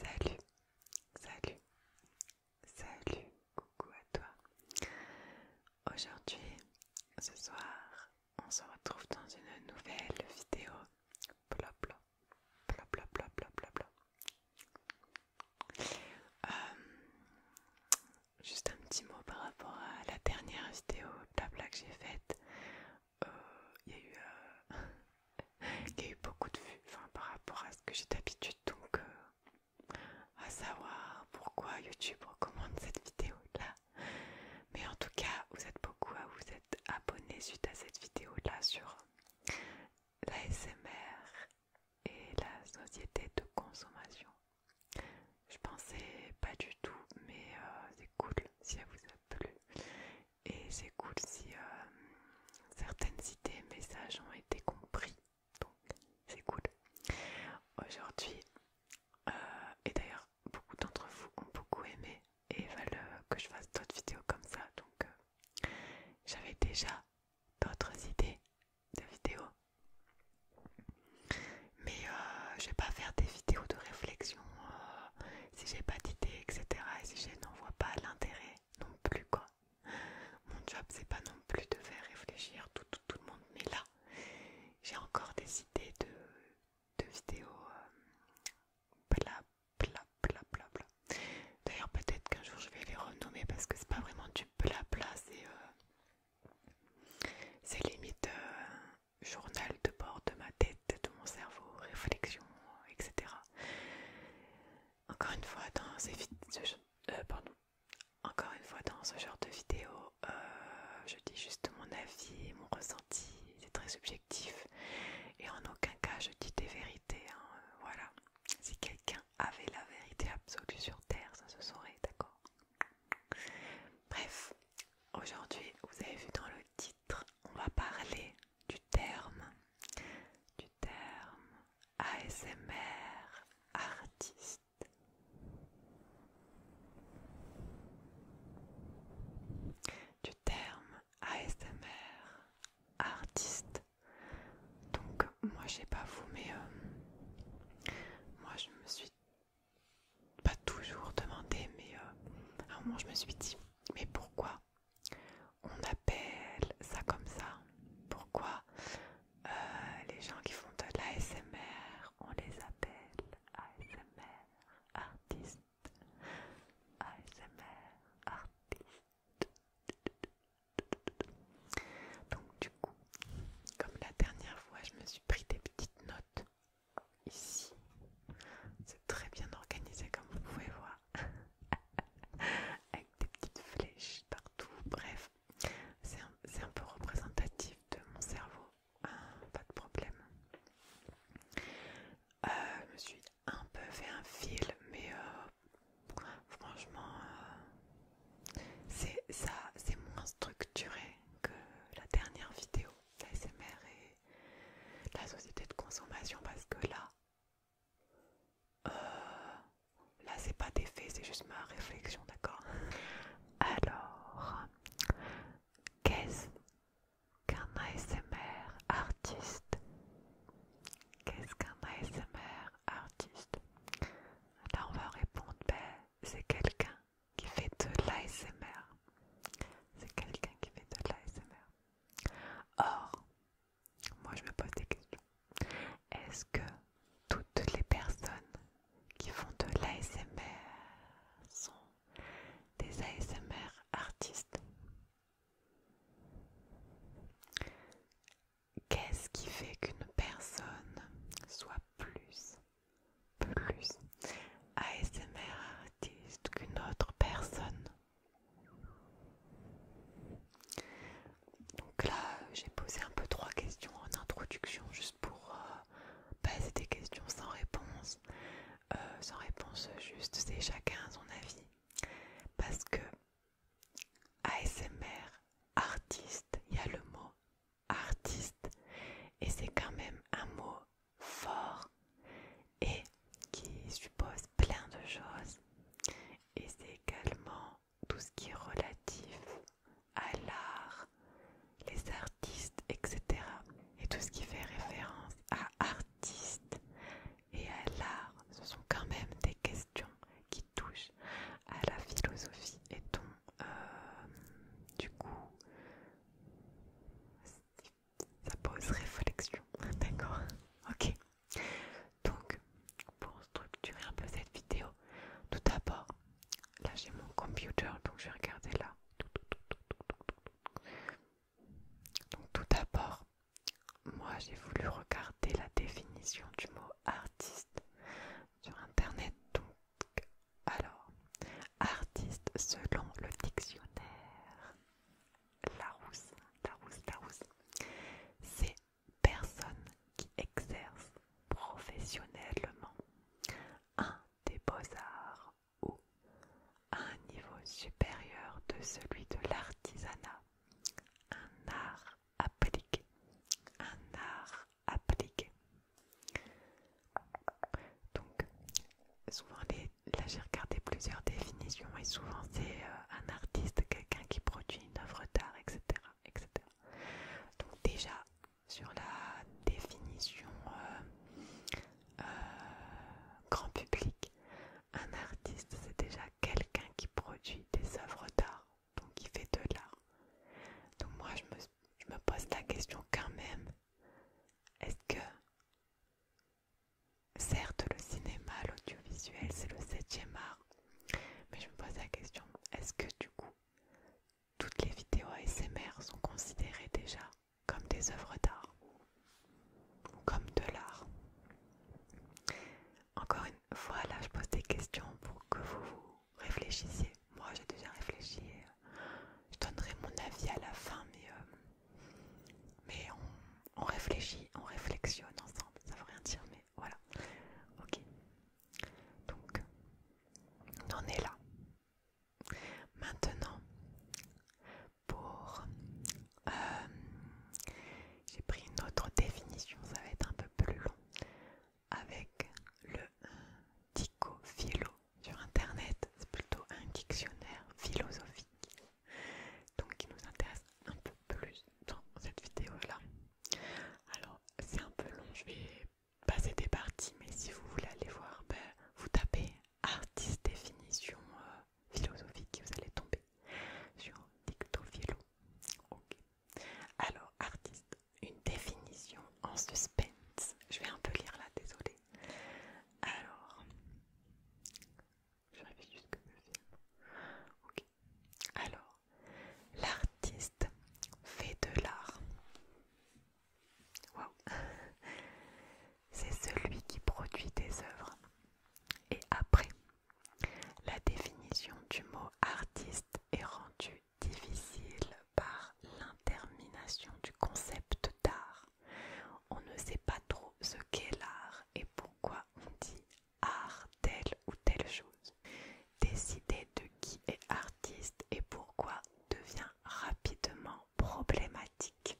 Salut, salut, salut, coucou à toi. Aujourd'hui, ce soir, on se retrouve dans une nouvelle vidéo. Bla bla bla bla bla bla bla juste un petit mot par rapport à la dernière vidéo blabla que j'ai faite. Il euh, euh, y a eu, beaucoup de vues par rapport à ce que j'ai d'habitude, donc euh, à savoir pourquoi YouTube recommande cette vidéo-là. Mais en tout cas, vous êtes beaucoup à vous être abonné suite à cette vidéo-là sur l'ASMR et la société de consommation. Je pensais pas du tout, mais euh, c'est cool si elle vous a plu. Et c'est cool si euh, certaines idées et messages ont été compris. Donc c'est cool. Aujourd'hui, euh, et d'ailleurs beaucoup d'entre vous ont beaucoup aimé et veulent que je fasse d'autres vidéos comme ça. Donc j'avais déjà d'autres idées de vidéos. Mais je vais pas faire des vidéos de réflexion si j'ai pas d'idées, etc. Et si je n'en vois pas l'intérêt non plus, quoi. Mon job, c'est pas non plus de faire réfléchir tout, tout, le monde. Mais là, j'ai encore des idées de, vidéos. bla, bla, bla, bla, bla. D'ailleurs, peut-être qu'un jour je vais les renommer parce que c'est pas vraiment du blabla, c'est. C'est limite euh, journal de bord de ma tête, de mon cerveau, réflexion, etc. Encore une fois, dans ce, euh, pardon. Encore une fois, dans ce genre de vidéo, euh, je dis juste mon avis, mon ressenti, c'est très subjectif et en aucun cas je dis des vérités. Hein, voilà, si quelqu'un avait la vérité absolue sur Terre, ça se saurait, d'accord Bref, aujourd'hui, vous avez vu dans le titre, on va parler du terme, du terme ASMR artiste. Du terme ASMR artiste. Donc moi je sais pas vous mais euh, moi je me suis pas toujours demandé, mais euh, à un moment je me suis dit, mais pourquoi on appelle ça comme ça Pourquoi euh, les gens qui font de l'ASMR, on les appelle ASMR artistes ASMR artistes donc du coup, comme la dernière fois, je me suis pris des petites notes ici. C'est très bien organisé comme vous pouvez voir. Avec des petites flèches partout. Bref, c'est un, peu représentatif de mon cerveau. Hein, pas de problème. Euh, je me suis un peu fait un fil, mais euh, franchement, euh, c'est ça c'est moins structuré que la dernière vidéo, l'ASMR et la société de consommation, parce que là, euh, là c'est pas des faits, c'est juste ma réflexion, d'accord Alors, qu'est-ce qu'un ASMR artiste Qu'est-ce qu'un ASMR artiste Là on va répondre, ben, c'est quelqu'un qui fait de l'ASMR. C'est quelqu'un qui fait de l'ASMR. Or, moi je me pose des questions. Est-ce que toutes les personnes qui font de l'ASMR sont des ASMR artistes Qu'est-ce qui fait qu'une personne soit plus plus ASMR artiste qu'une autre personne. Donc là, j'ai posé un peu trois questions en introduction, juste pour euh, passer des questions sans réponse. Euh, sans réponse juste, c'est chacun son avis. Parce que ASMR, artiste, il y a le mot artiste. Et c'est quand même un mot fort et qui suppose plein de choses. Et c'est également tout ce qui est relatif à l'art, les artistes, etc. Et tout ce qui fait référence à artiste et à l'art, ce sont quand même des questions qui touchent à la philosophie et donc euh, du coup ça pose réflexion, d'accord Ok. Donc, pour structurer un peu cette vidéo, tout d'abord, là j'ai mon computer, donc je vais regarder là. Donc, tout d'abord, moi j'ai voulu regarder la définition du mot artiste sur internet donc. Alors, artiste selon le dictionnaire Larousse, Larousse, c'est personne qui exerce professionnellement un des beaux-arts ou un niveau supérieur de celui de l'artisanat, un art appliqué, un art Appliqué. Donc, souvent, les, là j'ai regardé plusieurs définitions et souvent c'est euh, un artiste, quelqu'un qui produit une œuvre d'art, etc., etc. Donc, déjà, sur la définition euh, euh, grand public, un artiste c'est déjà quelqu'un qui produit des œuvres d'art, donc qui fait de l'art. Donc moi je me je me pose la question quand même. Est-ce que... Certes, le cinéma, l'audiovisuel, c'est le 7 ème art. Mais je me pose la question, est-ce que du coup, toutes les vidéos ASMR sont considérées déjà comme des œuvres d'art ou comme de l'art Encore une fois, là, je pose des questions pour que vous vous réfléchissez. Moi j'ai déjà réfléchi euh, je donnerai mon avis à la fin, mais, euh, mais on, réfléchit, on réflexionne ensemble. Ça veut rien dire, mais voilà. Ok. Donc, on en est là. Maintenant, pour... Euh, j'ai pris une autre définition, ça va être un peu plus long avec le dico philo sur internet, c'est plutôt un dictionnaire philosophique, donc qui nous intéresse un peu plus dans cette vidéo là. Alors c'est un peu long, je vais passer des parties, mais si vous voulez aller voir, ben, vous tapez artiste définition euh, philosophique et vous allez tomber sur dicto philo. Ok. Alors artiste une définition en suspense. Je vais un peu lire là, désolée. Alors, Ok. Alors, l'artiste fait de l'art. Waouh. C'est celui qui produit des œuvres. Et après, la définition du mot artiste est rendue difficile par l'intermination du concept d'art. On ne sait pas trop ce qu'est l'art et pourquoi on dit art telle ou telle chose. Décider de qui est artiste et pourquoi devient rapidement problématique.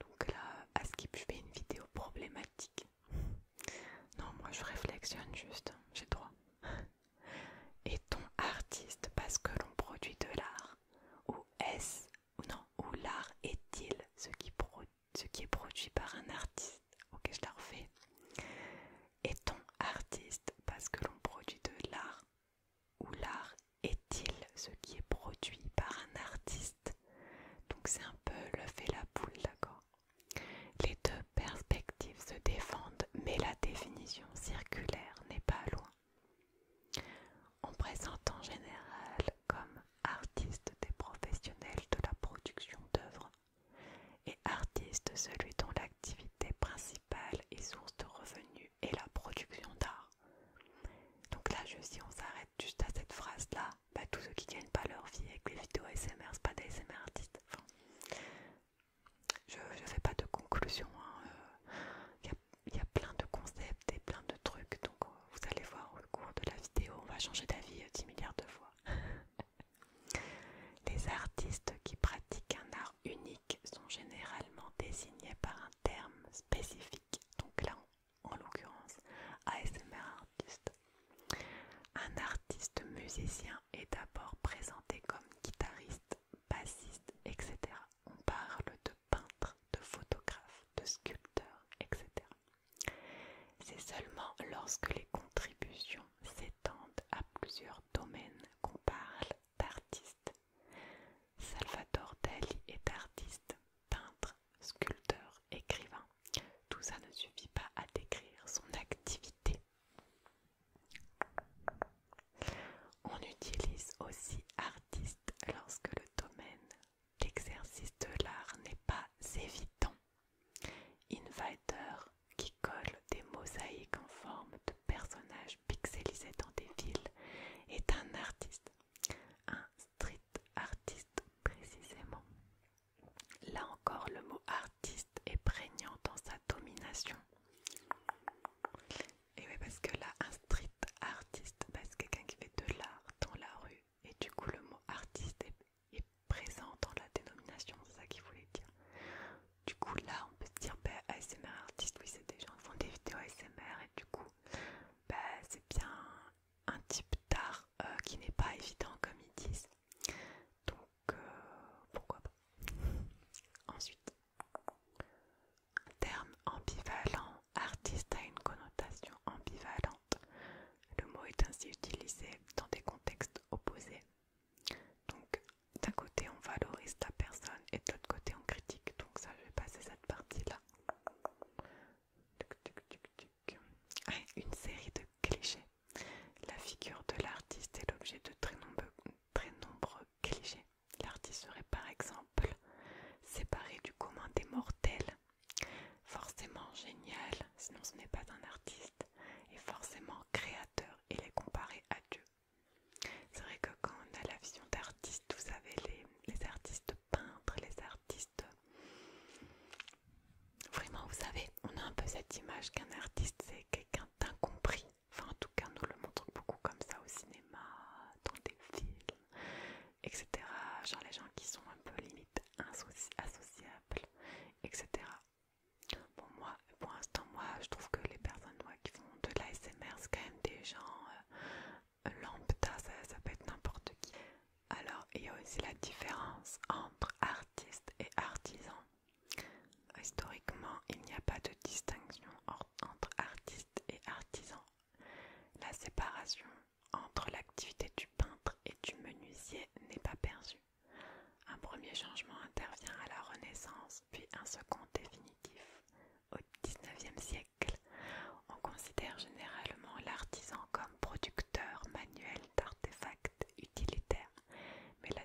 Donc là, à qui je fais une vidéo problématique. Non, moi je réflexionne juste, hein, j'ai droit. Est-on artiste parce que l'on produit de l'art Ou est-ce, non, ou l'art est-il ce, qui est produit par un artiste Ok, je la refais. Est-on artiste parce que l'on produit de l'art Ou l'art est-il ce qui est produit par un artiste Donc c'est un peu le fait la poule, d'accord Les deux perspectives se défendent, mais la définition circulaire n'est pas loin. On présente en général comme artiste des professionnels de la production d'œuvres et artiste celui dont l'activité principale et source de revenus est la production d'art. Donc là, je, si on s'arrête juste à cette phrase-là, bah, tous ceux qui gagnent pas leur vie avec les vidéos SMR, c'est pas des SMR artistes. Je ne fais pas de conclusion. Hein, euh. Il y, y a plein de concepts et plein de trucs. Donc euh, vous allez voir au cours de la vidéo, on va changer d'avis 10 euh, milliards de fois. Les artistes qui pratiquent un art unique sont généralement désignés par un terme spécifique. Donc là, en l'occurrence, ASMR artiste. Un artiste musicien est d'abord présenté comme guitariste, bassiste, etc. On parle de peintre, de photographe, de sculpteur, etc. C'est seulement lorsque les contributions s'étendent à plusieurs domaines qu'on parle d'artiste. Salvador Dali est artiste, peintre, sculpteur, écrivain. Tout ça ne suffit pas à décrire son activité. On utilise aussi artiste lorsque le domaine l'exercice de l'art n'est pas évident. Invader qui colle des mosaïques en forme de personnages pixelisés dans des villes est un artiste, un street artiste précisément. Là encore, le mot artiste est prégnant dans sa domination. Et oui, parce que là, un street artiste, c'est quelqu'un qui fait de l'art dans la rue. Et du coup, le mot artiste est, présent dans la dénomination, c'est ça qu'il voulait dire. Du coup, là, on peut se dire, ASMR bah, artiste, oui, c'est des gens qui font des vidéos ASMR. Et du coup, bah, c'est bien un type d'art euh, qui n'est pas évident, comme ils disent. Donc, euh, pourquoi pas Ensuite, Terme ambivalent, artiste a une connotation ambivalente. Le mot est ainsi utilisé dans des contextes opposés. Donc d'un côté on valorise la personne et de l'autre côté on critique. Donc ça je vais passer cette partie-là. Ah, une série de clichés. La figure de l'artiste est l'objet de très nombreux, très nombreux L'artiste serait par exemple séparé du commun des mortels, forcément génial, sinon ce n'est pas un artiste, et forcément créateur, il est comparé à Dieu. C'est vrai que quand on a la vision d'artiste, vous savez, les artistes peintres, les artistes... Vraiment, vous savez, on a un peu cette image qu'un artiste, c'est quelqu'un d'incompris, Enfin, en tout cas, nous le montrons beaucoup comme ça au cinéma, dans des films, etc. Genre les gens qui sont un peu limite associables, etc. Bon, moi, pour l'instant, moi, je trouve que les personnes qui font de l'ASMR, c'est quand même des gens euh, lampe ça, peut être n'importe qui. Alors, il y a aussi la différence entre artiste et artisans. Historiquement, il n'y a pas de distinction entre artiste et artisan. La séparation entre l'activité du peintre et du menuisier n'est pas perçue. Un premier changement intervient à la Renaissance, puis un second définitif. Au XIXe siècle, on considère généralement l'artisan comme producteur manuel d'artefacts utilitaires, mais la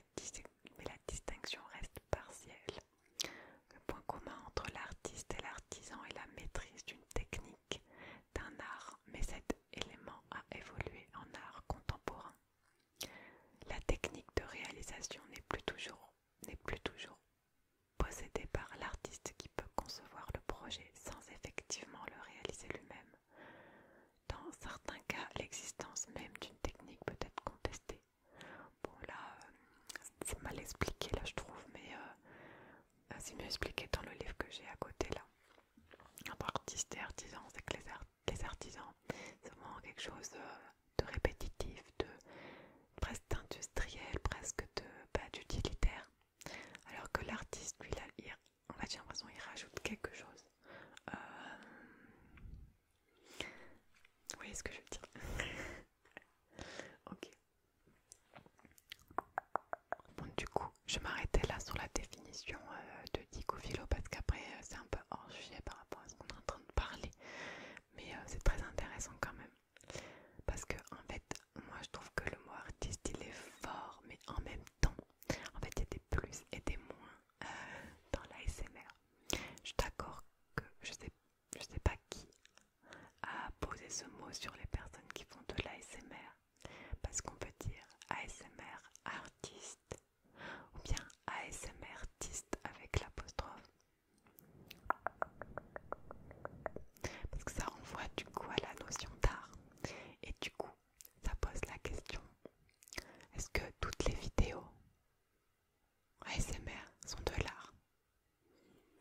mais la distinction reste partielle. Le point commun entre l'artiste et l'artisan est la maîtrise d'une technique, d'un art, mais cet élément a évolué en art contemporain. La technique de réalisation n'est plus toujours, n'est plus toujours possédée par l'artiste qui peut concevoir le projet sans effectivement le réaliser lui-même. Dans certains cas, l'existence même d'une technique peut être contestée, Bon là, euh, c'est mal expliqué là je trouve, mais euh, euh, c'est mieux expliqué dans le livre que j'ai à côté là. Entre artistes et artisans, c'est que les, artisans, c'est vraiment quelque chose de répétitif, de presque industriel, presque de bah, d'utilitaire. Alors que l'artiste, lui, là, il, l'impression il rajoute quelque chose. Vous voyez ce que je veux dire Ok. Bon, du coup, je m'arrêtais là sur la définition euh, de dicophilo parce qu'après, euh, c'est un peu hors sujet par rapport à ce qu'on est en train de parler. Mais euh, c'est très intéressant quand même. Parce que, en fait, moi je trouve que le mot artiste il est fort, mais en même temps, en fait, il y a des plus et des moins. dans l'ASMR. Je t'accorde que je sais, je sais pas qui a posé ce mot sur les personnes qui font de l'ASMR. Parce qu'on peut dire ASMR artiste ou bien ASMR artiste avec l'apostrophe. Parce que ça renvoie du coup à la notion d'art. Et du coup, ça pose la question, est-ce que toutes les vidéos ASMR, sont de l'art.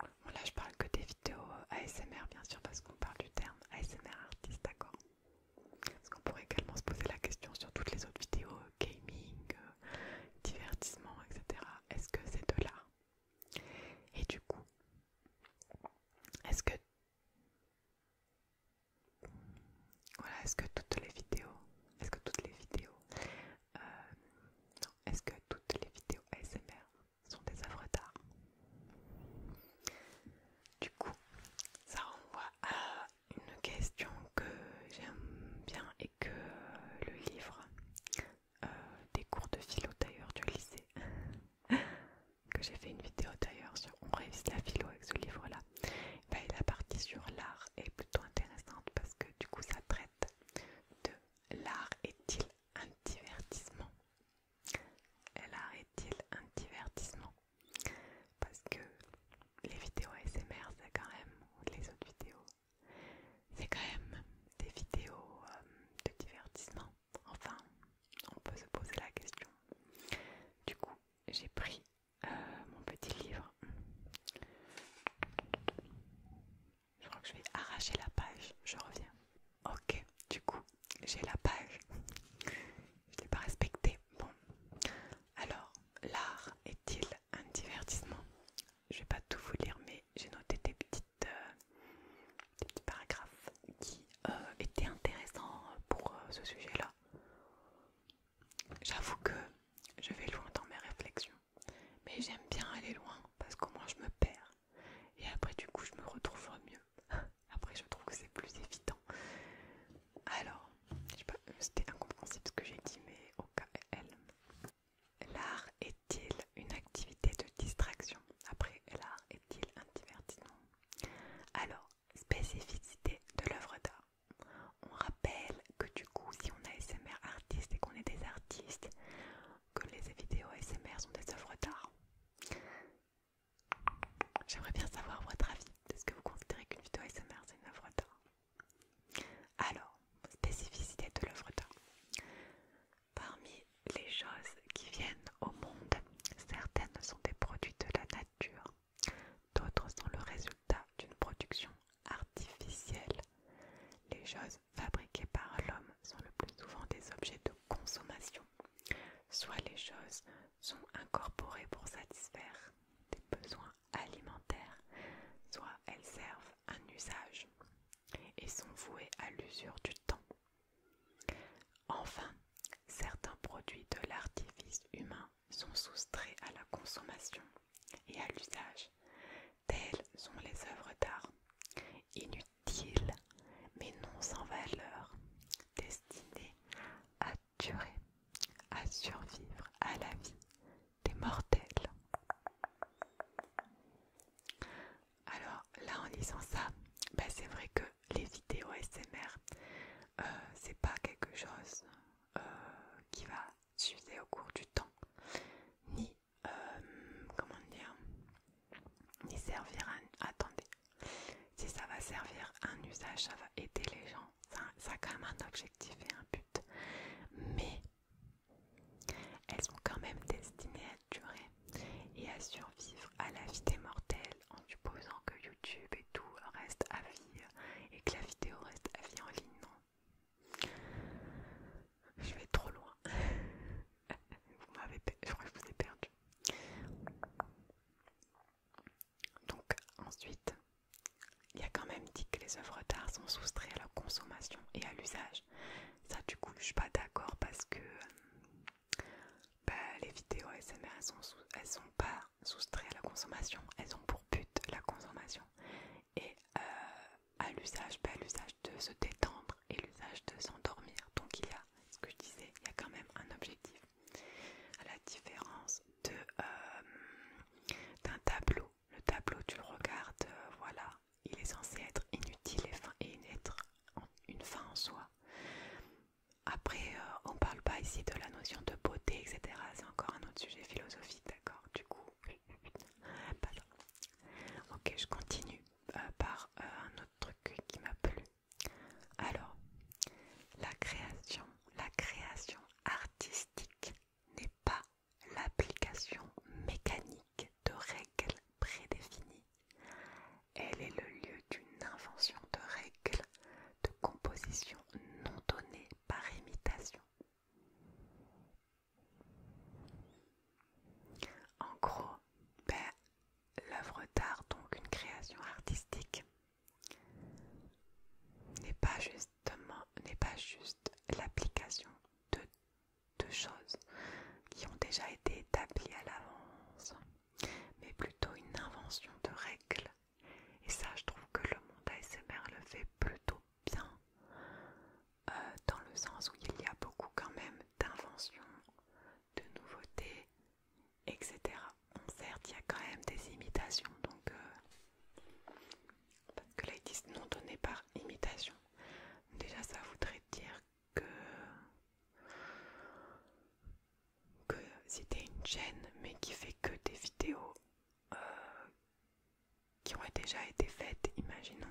Bon là je parle que des vidéos euh, ASMR bien sûr parce qu'on parle du terme ASMR artiste, d'accord Parce qu'on pourrait également se poser la question sur toutes les autres vidéos, euh, gaming, euh, divertissement, etc. Est-ce que c'est de l'art Et du coup, est-ce que... Voilà, est-ce que toutes les vidéos, est-ce que toutes les vidéos euh, est-ce que toutes les vidéos ASMR sont des œuvres d'art Du coup, ça renvoie à une question que j'aime bien et que le livre euh, des cours de philo d'ailleurs du lycée, que j'ai fait une vidéo d'ailleurs sur On révise la philo avec ce livre-là, et ben, la partie sur l'art est plutôt intéressante parce que du coup ça traite de l'art est-il un divertissement L'art est-il un divertissement Parce que les vidéos ASMR, c'est quand même, les autres vidéos, c'est quand même des vidéos euh, de divertissement. Enfin, on peut se poser la question. Du coup, j'ai pris euh, mon petit livre. Je crois que je vais arracher la page, je reviens. Ok, du coup, j'ai la page. Je l'ai pas respectée. Bon, alors, l'art est-il un divertissement Je vais pas tout vous lire, mais j'ai noté des, petites, euh, petits paragraphes qui euh, étaient intéressants pour ce sujet-là. J'avoue que je vais loin dans mes réflexions, mais j'aime bien aller loin parce qu'au moins je me perds et après du coup je me retrouve mieux. après je trouve que c'est plus évident. Alors, je sais pas, c'était incompréhensible ce que j'ai dit, mais au cas elle. L'art est-il une activité de distraction Après, l'art est-il un divertissement Alors, spécificité de l'œuvre d'art. On rappelle que du coup, si on a SMR artistes et qu'on est des artistes, que les vidéos SMR sont des œuvres d'art. J'aimerais bien savoir votre avis. Est-ce que vous considérez qu'une vidéo SMR c'est une œuvre d'art Alors, spécificité de l'œuvre d'art. Parmi les choses qui viennent au monde, certaines sont des produits de la nature, d'autres sont le résultat d'une production artificielle. Les choses fabriquées par l'homme sont le plus souvent des objets de consommation. Soit les choses sont incorporées pour satisfaire des besoins alimentaires, soit elles servent un usage et sont vouées à l'usure du temps. Enfin, certains produits de l'artifice humain sont soustraits à la consommation et à l'usage. Telles sont les œuvres d'art, inutiles mais non sans valeur, destinées à durer, à survivre à la vie des mortels. Alors là en disant ça, bah, c'est vrai que les vidéos SMR, euh, c'est pas quelque chose euh, qui va suivait au cours du temps, ni euh, comment dire, ni servir à. Attendez, si ça va servir à un usage, ça va aider les gens. Ça, ça a quand même un objectif et un but, mais elles sont quand même destinées à durer et à survivre à la vie des mortels en supposant que YouTube et tout reste à vie et que la vidéo reste à vie en ligne. Non, je vais trop loin. je crois que je vous ai perdu. Donc ensuite, il y a quand même dit que les œuvres d'art sont soustraites à la consommation et à l'usage. Ça du coup, je suis pas d'accord parce que euh, bah, les vidéos SMR elles sont, elles sont pas soustraites à la consommation. Elles ont pour but la consommation et euh, à l'usage, de se détendre et l'usage de s'endormir. Donc il y a ce que je disais, il y a quand même un objectif. À la différence de euh, d'un tableau, le tableau tu le regardes, euh, voilà, il est censé être inutile et, être une fin en soi. Après, on parle pas ici de la notion de beauté, etc. C'est encore un autre sujet philosophique, d'accord Du coup, Ok, je continue euh, par euh, un autre truc qui m'a plu. Alors, la création, la création artistique n'est pas l'application mécanique de règles prédéfinies. Elle est le lieu d'une invention de règles de composition non données par imitation en gros, ben, l'œuvre d'art, donc une création artistique, n'est pas justement n'est pas juste l'application de, de choses qui ont déjà été établies à l'avance, mais plutôt une invention de règles. Et ça, je trouve que le monde ASMR le fait plutôt bien, euh, dans le sens où il y a beaucoup quand même d'inventions, de nouveautés, etc. certes, il y a quand même des imitations, donc euh, parce que là ils disent non donné par imitation. Déjà, ça voudrait dire que que une chaîne mais qui fait que des vidéos euh, qui aurait déjà été faites, imaginons,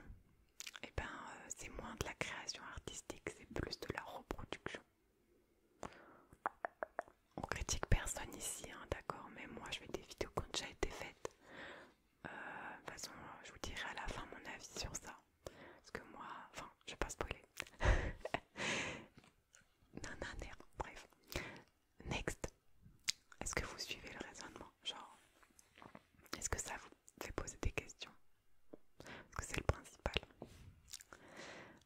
et eh ben euh, c'est moins de la création artistique, c'est plus de la reproduction. On critique personne ici, hein, d'accord, mais moi je fais des vidéos qui ont déjà été faites. Euh, de toute façon, je vous dirai à la fin mon avis sur ça. Parce que moi, enfin, je vais pas spoiler. non, bref next. Est-ce que vous suivez le raisonnement Genre, est-ce que ça vous fait poser des questions Parce que c'est le principal.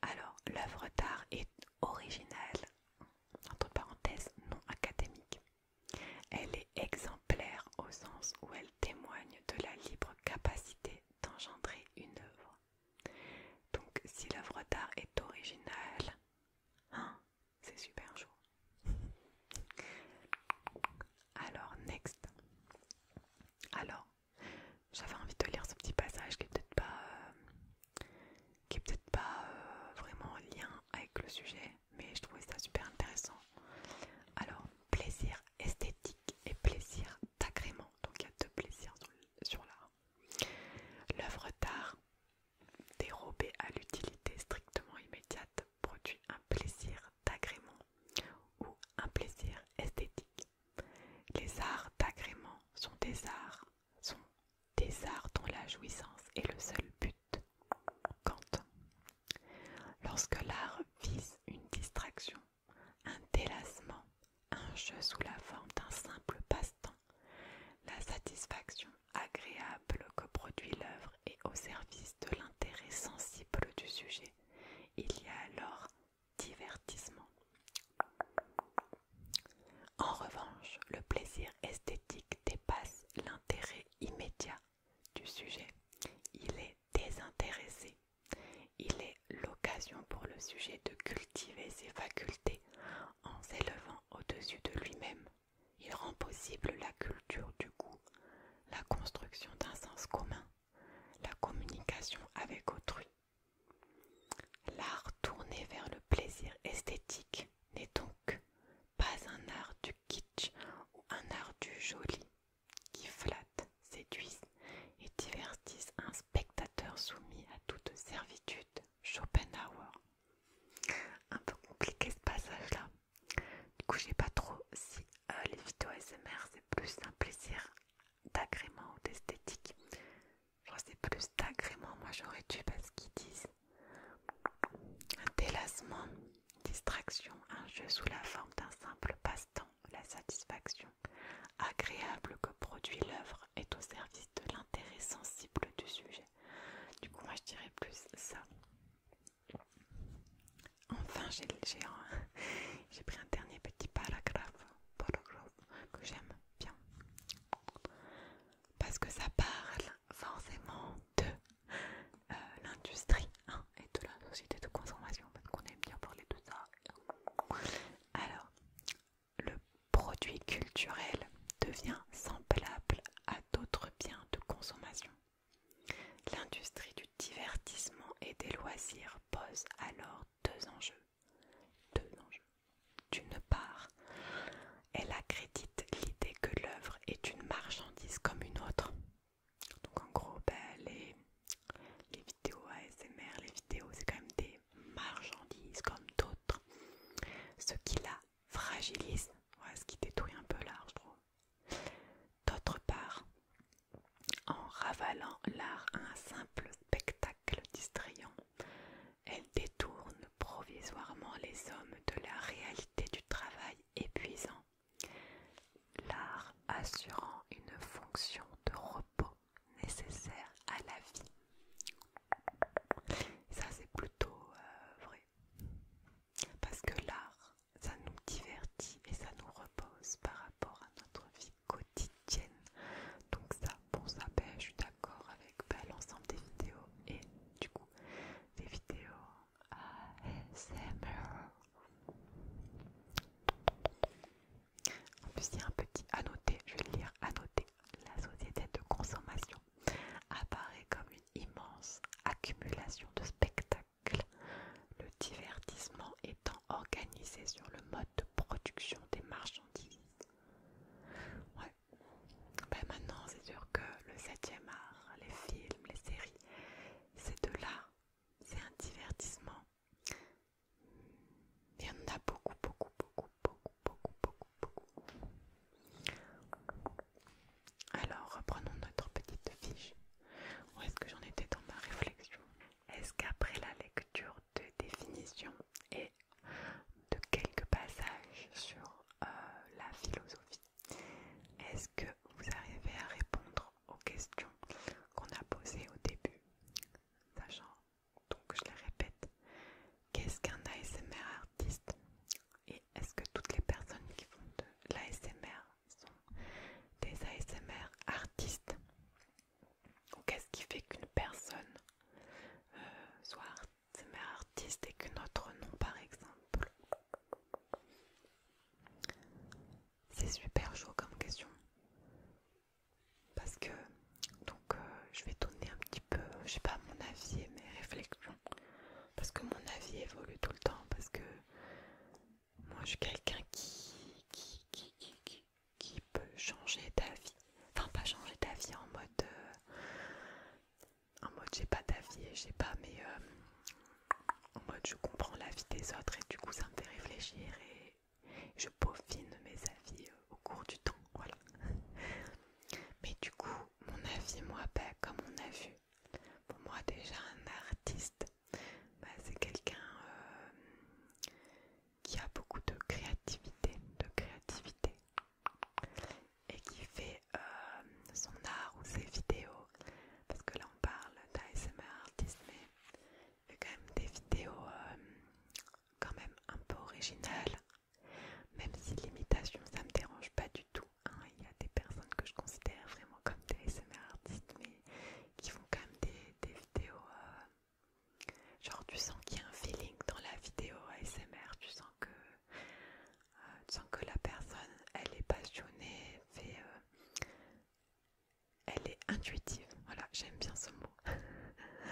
Alors, l'œuvre d'art est originale, entre parenthèses, non académique. Elle est exemplaire au sens où elle témoigne de la libre capacité d'engendrer une œuvre. Donc, si l'œuvre d'art est originale, hein, c'est super chaud. Alors, next. Alors, j'avais envie de lire ce petit passage qui est peut-être pas, euh, qui peut-être pas euh, vraiment en lien avec le sujet, mais je trouvais ça super intéressant. Alors, plaisir esthétique et plaisir d'agrément. Donc, il y a deux plaisirs sur, sur l'art. L'œuvre d'art Dérobé à l'utilité strictement immédiate produit un plaisir d'agrément ou un plaisir esthétique. Les arts d'agrément sont des arts, dont la jouissance est le seul but. quand, Lorsque l'art vise une distraction, un délassement, un jeu sous la forme d'un simple passe-temps, la satisfaction agréable que produit l'œuvre est au service de l'intérêt sensible du sujet. Il y a alors divertissement. En revanche, le plaisir esthétique dépasse l'intérêt immédiat du sujet. Il est désintéressé. Il est l'occasion pour le sujet de cultiver ses facultés en s'élevant au-dessus de lui-même il rend possible la culture du goût, la construction d'un sens commun, la communication avec autrui. L'art tourné vers le plaisir esthétique n'est donc pas un art du kitsch ou un art du joli qui flatte, séduise et divertisse un spectateur soumis à toute servitude. Schopenhauer un peu compliqué ce passage là du coup je pas trop si euh, les vidéos SMR c'est plus un plaisir d'agrément ou d'esthétique Je que c'est plus d'agrément moi j'aurais dû parce qu'ils disent un délassement distraction un jeu sous la forme d'un simple passe-temps la satisfaction agréable que produit l'œuvre est au service de l'intérêt sensible du sujet du coup, moi je dirais plus ça. Enfin, j'ai j'ai pris un dernier petit paragraphe, que j'aime bien parce que ça parle forcément de euh, l'industrie hein, et de la société de consommation parce qu'on aime bien parler de ça. Alors, le produit culturel devient semblable à d'autres biens de consommation. L'industrie du divertissement et des loisirs pose alors deux enjeux. D'une part, elle accrédite l'idée que l'œuvre est une marchandise comme une autre. Donc en gros, ben, les, les vidéos ASMR, les vidéos, c'est quand même des marchandises comme d'autres. Ce qui la fragilise, ce qui détruit un peu l'art, je trouve. D'autre part, en ravalant l'art à un simple spectacle distrayant, elle détourne provisoirement les hommes de la réalité du travail épuisant, l'art assurant une fonction de repos nécessaire à la vie ça c'est plutôt euh, vrai. Parce que l'art, ça nous divertit et ça nous repose par rapport à notre vie quotidienne. Donc ça, bon ça, ben, je suis d'accord avec ben, l'ensemble des vidéos et du coup des vidéos ASMR. En plus il y a un petit annoté, je vais le lire, annoté la société de consommation apparaît comme une immense accumulation de spectacles, le divertissement étant organisé sur le mode de production des marchandises. Ouais. Ben maintenant, c'est sûr que le 7e art, les films, les séries, c'est de là, c'est un divertissement. Il y en a beaucoup, beaucoup, beaucoup, beaucoup, beaucoup, beaucoup, alors, reprenons notre petite fiche. Où est-ce que j'en étais dans ma réflexion Est-ce qu'après la lecture de définition et de quelques passages sur euh, la philosophie, est-ce que vous arrivez à répondre aux questions qu'on a posées au début Sachant, donc je les répète, Qu'est-ce qu'un ASMR artiste Et est-ce que toutes les personnes qui font de l'ASMR sont des ASMR artistes Ou qu'est-ce qui fait qu'une personne euh, soit ASMR artiste et qu'une autre non par exemple C'est super chaud comme question. Parce que, donc, euh, je vais donner un petit peu, je sais pas, mon avis et mes réflexions parce que mon avis évolue tout le temps, parce que moi je suis quelqu'un qui qui, peut changer ta vie. enfin pas changer d'avis en mode, euh, en mode j'ai pas d'avis et j'ai pas, mais euh, en mode je comprends la vie des autres et du coup ça me fait réfléchir et je peaufine mes avis euh, au cours du temps, voilà. Mais du coup, mon avis, moi, bah, comme on a vu, pour moi déjà un artiste, bah, c'est quelqu'un euh, qui a beaucoup de créativité, de créativité, et qui fait euh, son art ou ses vidéos, parce que là on parle d'ASMR artiste, mais il fait quand même des vidéos euh, quand même un peu originales même si l'imitation ça me dérange pas du tout, hein. il y a des personnes que je considère vraiment comme des ASMR artistes, mais qui font quand même des, vidéos. Euh, genre, tu sens qu'il y a un feeling dans la vidéo ASMR, tu sens que, euh, tu sens que la personne elle est passionnée, euh, elle est intuitive. Voilà, j'aime bien ce mot.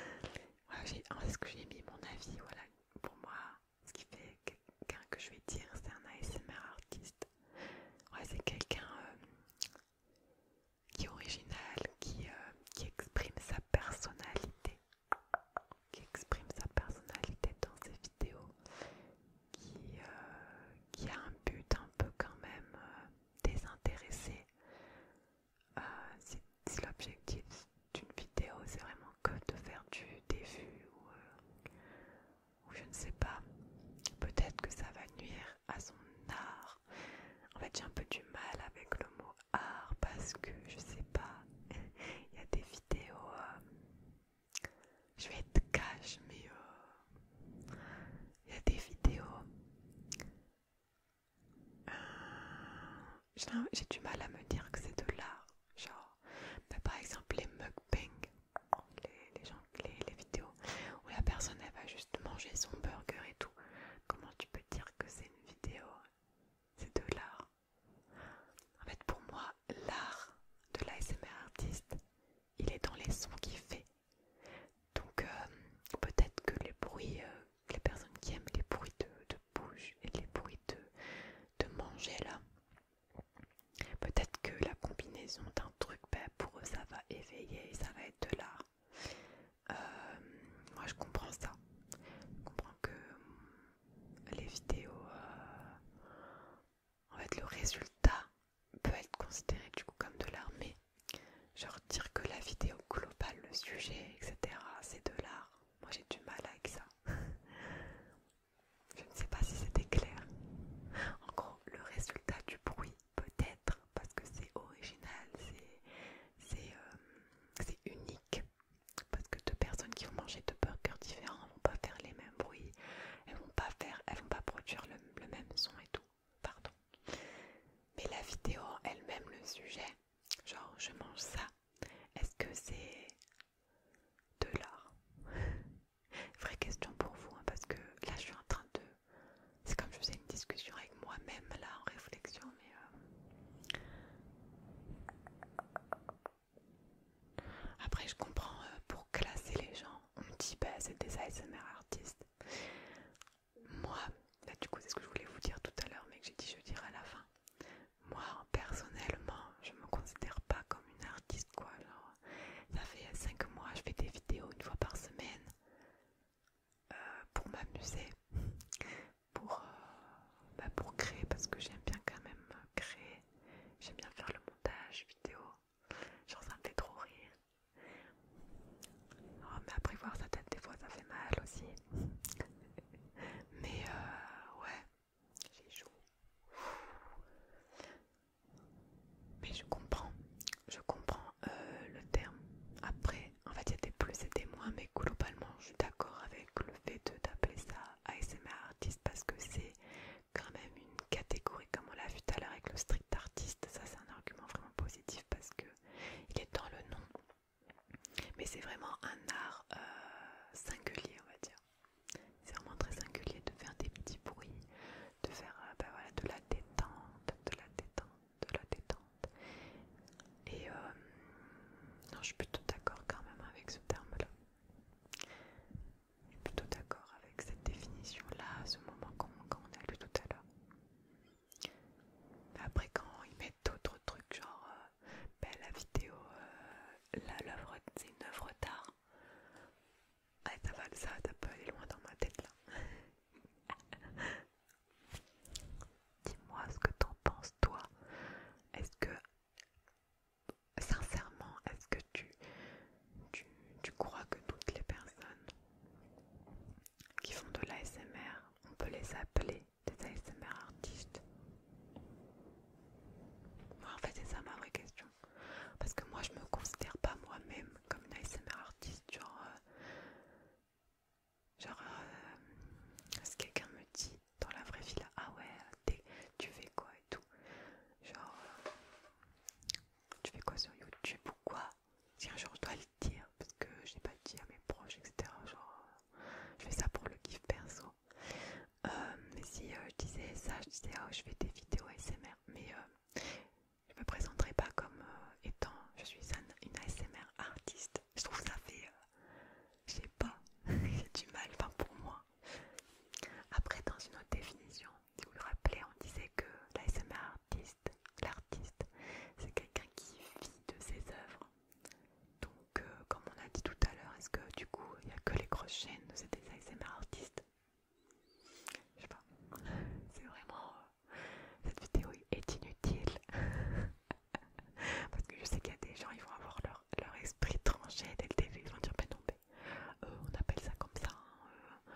voilà, Est-ce que j'ai mis mon avis Voilà, pour moi, ce qui fait que quelqu'un que je vais dire, c'est un ASMR artiste. Ouais, c'est quelqu'un euh, qui est original, euh, qui, exprime sa personnalité. Qui exprime sa personnalité dans ses vidéos. Qui, euh, a un but un peu quand même désintéressé. c'est l'objectif d'une vidéo, c'est vraiment que de faire du des euh, ou, je ne sais pas. Peut-être que ça va nuire à son art. En fait, j'ai un peu du mal avec le mot art parce que je sais pas. Il y a des vidéos. Euh, je vais être cash, mais euh, il y a des vidéos j'ai du mal à me dire que c'est de l'art. Genre, par exemple, les mukbang, les, les, gens, les, les vidéos où la personne elle va juste manger son burger et tout. Comment tu peux dire que c'est une vidéo C'est de l'art. En fait, pour moi, l'art de l'ASMR artiste, il est dans les sons qu'il fait. Donc, euh, peut-être que les bruits, euh, les personnes qui aiment les bruits de, de bouche et les bruits de manger là, Peut-être que la combinaison d'un truc, pour eux, ça va éveiller, ça va être de l'art. Euh, moi, je comprends ça. Je comprends que euh, les vidéos, euh, en fait, le résultat peut être considéré du coup comme de l'art, mais genre dire que la vidéo globale, le sujet, etc., c'est de l'art. Moi, j'ai du mal avec ça. Je ne sais pas si c'était clair. En gros, le résultat du bruit, peut-être, parce que c'est original, c'est euh, unique. Parce que deux personnes qui vont manger deux burgers différents vont pas faire les mêmes bruits, elles vont pas faire, elles vont pas produire le, le même son et tout. Pardon. Mais la vidéo elle-même, le sujet, genre je mange ça. Est-ce que c'est de l'art Vraie question pour vous, hein, parce que là je suis en train de... C'est comme je faisais une discussion avec moi-même là en réflexion, mais... Euh, après je comprends, euh, pour classer les gens, on me dit bah c'est des ASMR artistes. Moi, du coup c'est ce que je voulais vous dire tout à l'heure, mais que j'ai dit je dirais à la fin. Moi, personnellement, je me considère pas comme une artiste, quoi. ça fait 5 mois, je fais des vidéos une fois par semaine euh, pour m'amuser, pour, euh, bah, pour créer, parce que j'aime bien quand même créer. J'aime bien faire le montage vidéo. Genre, ça me fait trop rire. Ah, mais après voir sa tête, des fois, ça fait mal aussi. mais euh, ouais, j'ai Mais je comprends, je comprends euh, le terme. Après, en fait, il y a des plus et des moins, mais globalement, je suis d'accord avec le fait d'appeler ça ASMR artiste parce que c'est quand même une catégorie, comme on l'a vu tout à l'heure avec le strict artiste. Ça, c'est un argument vraiment positif parce que il est dans le nom. Mais c'est vraiment un art euh, singulier, on va dire. C'est vraiment très singulier de faire des petits bruits, de faire euh, bah de la détente, de la détente, de la détente. Et euh, non, je suis plutôt d'accord quand même avec ce terme-là. Je suis plutôt d'accord avec cette définition-là, ce moment qu'on a lu tout à l'heure. Après, quand ils mettent d'autres trucs, genre euh, bah, la vidéo là l'œuvre c'est une œuvre d'art. ça va ça, ça peut aller loin dans ma tête là. Dis-moi ce que t'en penses toi. Est-ce que sincèrement, est-ce que tu, tu crois que toutes les personnes qui font de l'ASMR, on peut les appeler des ASMR artistes en fait, c'est ça ma vraie question. Parce que moi, je me considère pas moi-même comme une ASMR artiste. Genre, euh, genre ce euh, si quelqu'un me dit dans la vraie vie là, ah ouais, tu fais quoi et tout. Genre, euh, tu fais quoi sur YouTube ou quoi Tiens, genre, je dois le dire parce que je n'ai pas dit à mes proches, etc. Genre, je fais ça pour le gif perso euh, mais si euh, je disais ça, je disais oh, je fais des vidéos ASMR, mais je euh, je me présenterai pas comme étant je suis une ASMR artiste. Je trouve ça fait, je sais pas, j'ai du mal, enfin pour moi. Après, dans une autre définition, vous vous rappelez, on disait que l'ASMR artiste, l'artiste, c'est quelqu'un qui vit de ses œuvres. Donc, euh, comme on a dit tout à l'heure, est-ce que du coup il n'y a que les grosses chaînes C'est ces ASMR artistes Je sais pas. C'est vraiment. Euh, cette vidéo est inutile. Parce que je sais qu'il y a des gens, ils vont avoir leur, esprit tranché dès le début. Ils vont dire, ben non, mais euh, on appelle ça comme ça. Hein,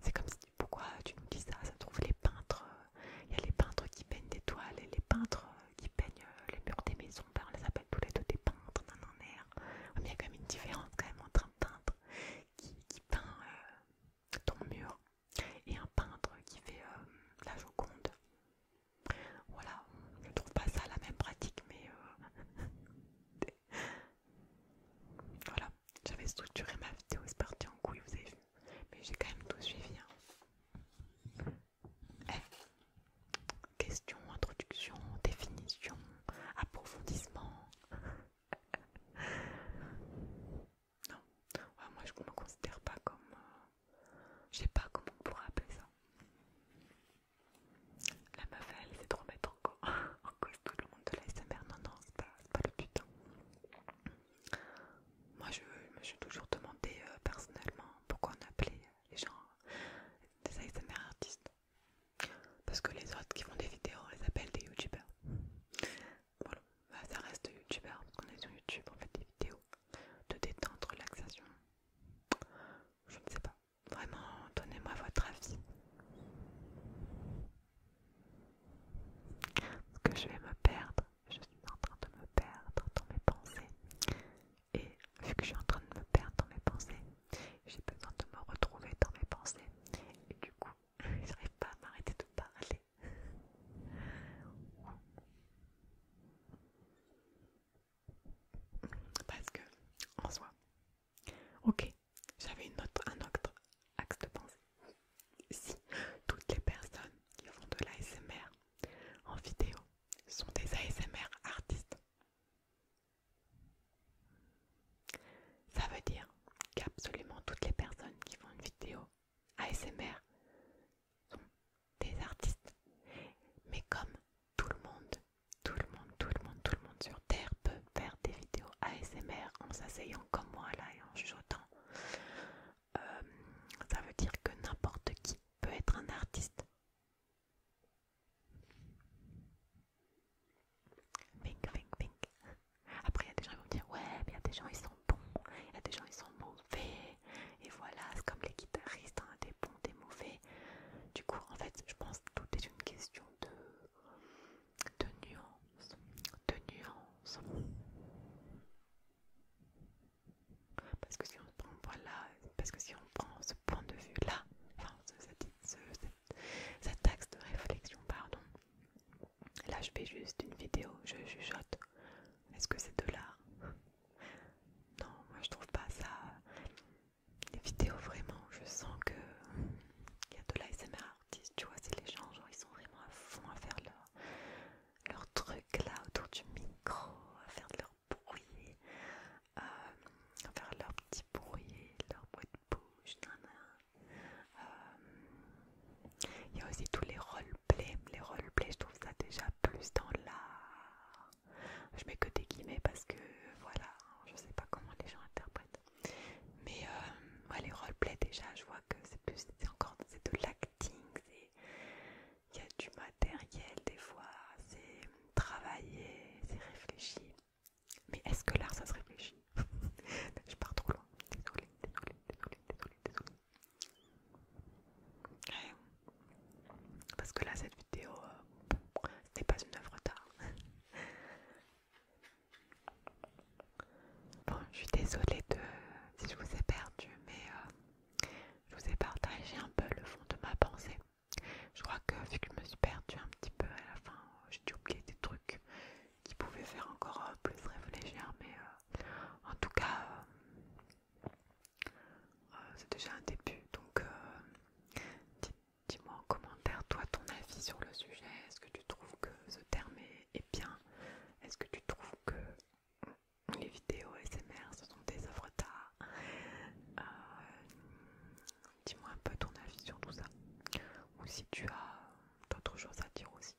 c'est comme si, pourquoi tu nous dis ça Ça trouve les peintres. Il y a les peintres qui peignent des toiles et les peintres qui peignent les murs des maisons. Ben, on tous les deux des peintres, dans un air. il y a quand même une différence quand même entre un peintre qui, peint euh, ton mur et un peintre qui fait euh, la Joconde. Voilà, je trouve pas ça la même pratique, mais euh, voilà, j'avais structuré ma vidéo, c'est parti en couille, vous avez vu, mais j'ai quand même tout suivi. Hein. Eh, question, introduction, définition, approfondissement. non, moi je me considère pas comme. Je euh, je sais pas comment on pourrait appeler ça. La meuf, elle c'est de remettre en, tout le monde de l'ASMR. Non, non, c'est pas, pas le but. Hein. Moi je me suis toujours demandé euh, personnellement pourquoi on appelait les gens des ASMR artistes. Parce que les autres qui font des vidéos, on les appelle des youtubeurs. Voilà, bah, ça reste youtubeur parce qu'on est sur YouTube, on fait des vidéos de détente, relaxation. Je ne sais pas. Vraiment, donnez-moi votre avis. Parce que je vais me perdre. Je suis en train de me perdre dans mes pensées et vu que je suis en train de me perdre dans mes pensées, j'ai besoin de me retrouver dans mes pensées et du coup, je j'arrive pas à m'arrêter de parler. Parce que, en soi, ok, j'avais un autre axe de pensée. Si toutes les personnes qui font de l'ASMR en vidéo sont des ASMR artistes, ça veut dire qu'absolument toutes les personnes qui font une vidéo ASMR sont des artistes. Mais comme tout le monde, tout le monde, tout le monde, tout le monde sur Terre peut faire des vidéos ASMR en s'asseyant comme moi là et en chuchotant, euh, ça veut dire que n'importe qui peut être un artiste. Après, il y a des gens qui vont dire Ouais, mais il y a des gens, ils sont bons, il y a des gens, ils sont mauvais. Et voilà, c'est comme les guitaristes, hein, des bons, des mauvais. Du coup, en fait, je pense que tout est une question de, de nuance. De nuance. Parce que si on prend, voilà, parce que si on prend point de vue-là, enfin, cet axe de réflexion, pardon. Là, je fais juste une vidéo, je chuchote. Est-ce que c'est de l'art Non, moi je trouve pas ça. Les vidéos, vraiment, je sens que il y a de l'ASMR artiste, tu vois, c'est les gens, genre, ils sont vraiment à fond à faire leur, leur truc là autour du micro, à faire de leur leur euh, faire leur petit bourrier leur boîte de bouche, euh, Il y a aussi tous les roleplays. Les roleplays, je trouve ça déjà plus dans l'art. Je mets que des guillemets parce que voilà, je sais pas comment les gens interprètent. Mais euh, les roleplays, déjà, je vois que c'est plus, encore de l'acting, il y a du matériel des fois, c'est travailler, c'est réfléchi. Mais est-ce que l'art ça se réfléchit Je pars trop loin, désolé, désolé, désolé. Parce que là cette vidéo ce euh, n'est pas une œuvre d'art. Bon, je suis désolée de, si je vous ai perdu, mais euh, je vous ai partagé un peu le fond de ma pensée. Je crois que vu que je me suis perdue un petit peu à la fin, euh, j'ai dû oublier des trucs qui pouvaient faire encore euh, plus réfléchir, mais euh, en tout cas, c'est déjà un début. Donc, dis-moi en commentaire, toi, ton avis sur le sujet. Est-ce que tu trouves que ce terme est, bien Est-ce que tu trouves que les vidéos SMR, ce sont des œuvres d'art Dis-moi un peu ton avis sur tout ça. Ou si tu as d'autres choses à dire aussi.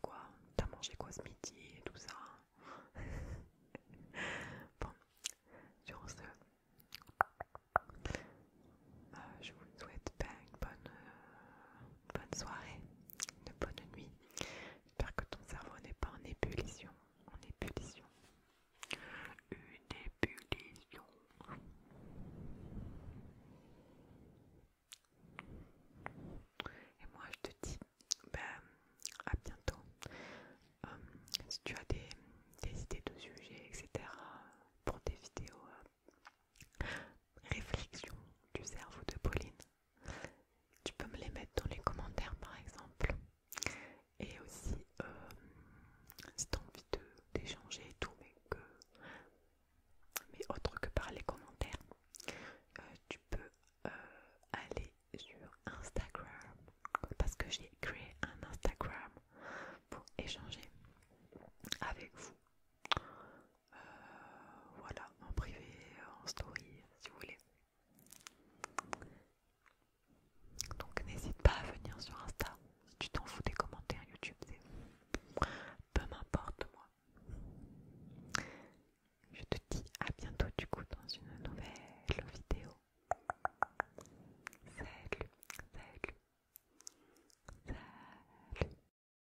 quoi T'as mangé quoi ce midi et tout ça Bon, sur ce, euh, je vous souhaite ben une bonne, euh, bonne soirée, une bonne nuit. J'espère que ton cerveau n'est pas En ébullition une ébullition. Et moi je te dis ben, à bientôt. Euh, si tu as des, idées de sujets, etc. pour des vidéos euh, réflexion du cerveau de Pauline, tu peux me les mettre dans les commentaires par exemple et aussi si tu as envie d'échanger et tout, mais que mais autre que par les commentaires, euh, tu peux euh, aller sur Instagram parce que j'ai créé un Instagram pour échanger avec vous. Euh, voilà, en privé, en story, si vous voulez. Donc n'hésite pas à venir sur Insta. Si tu t'en fous des commentaires YouTube, c'est peu m'importe moi. Je te dis à bientôt du coup dans une nouvelle vidéo. Salut, salut, salut.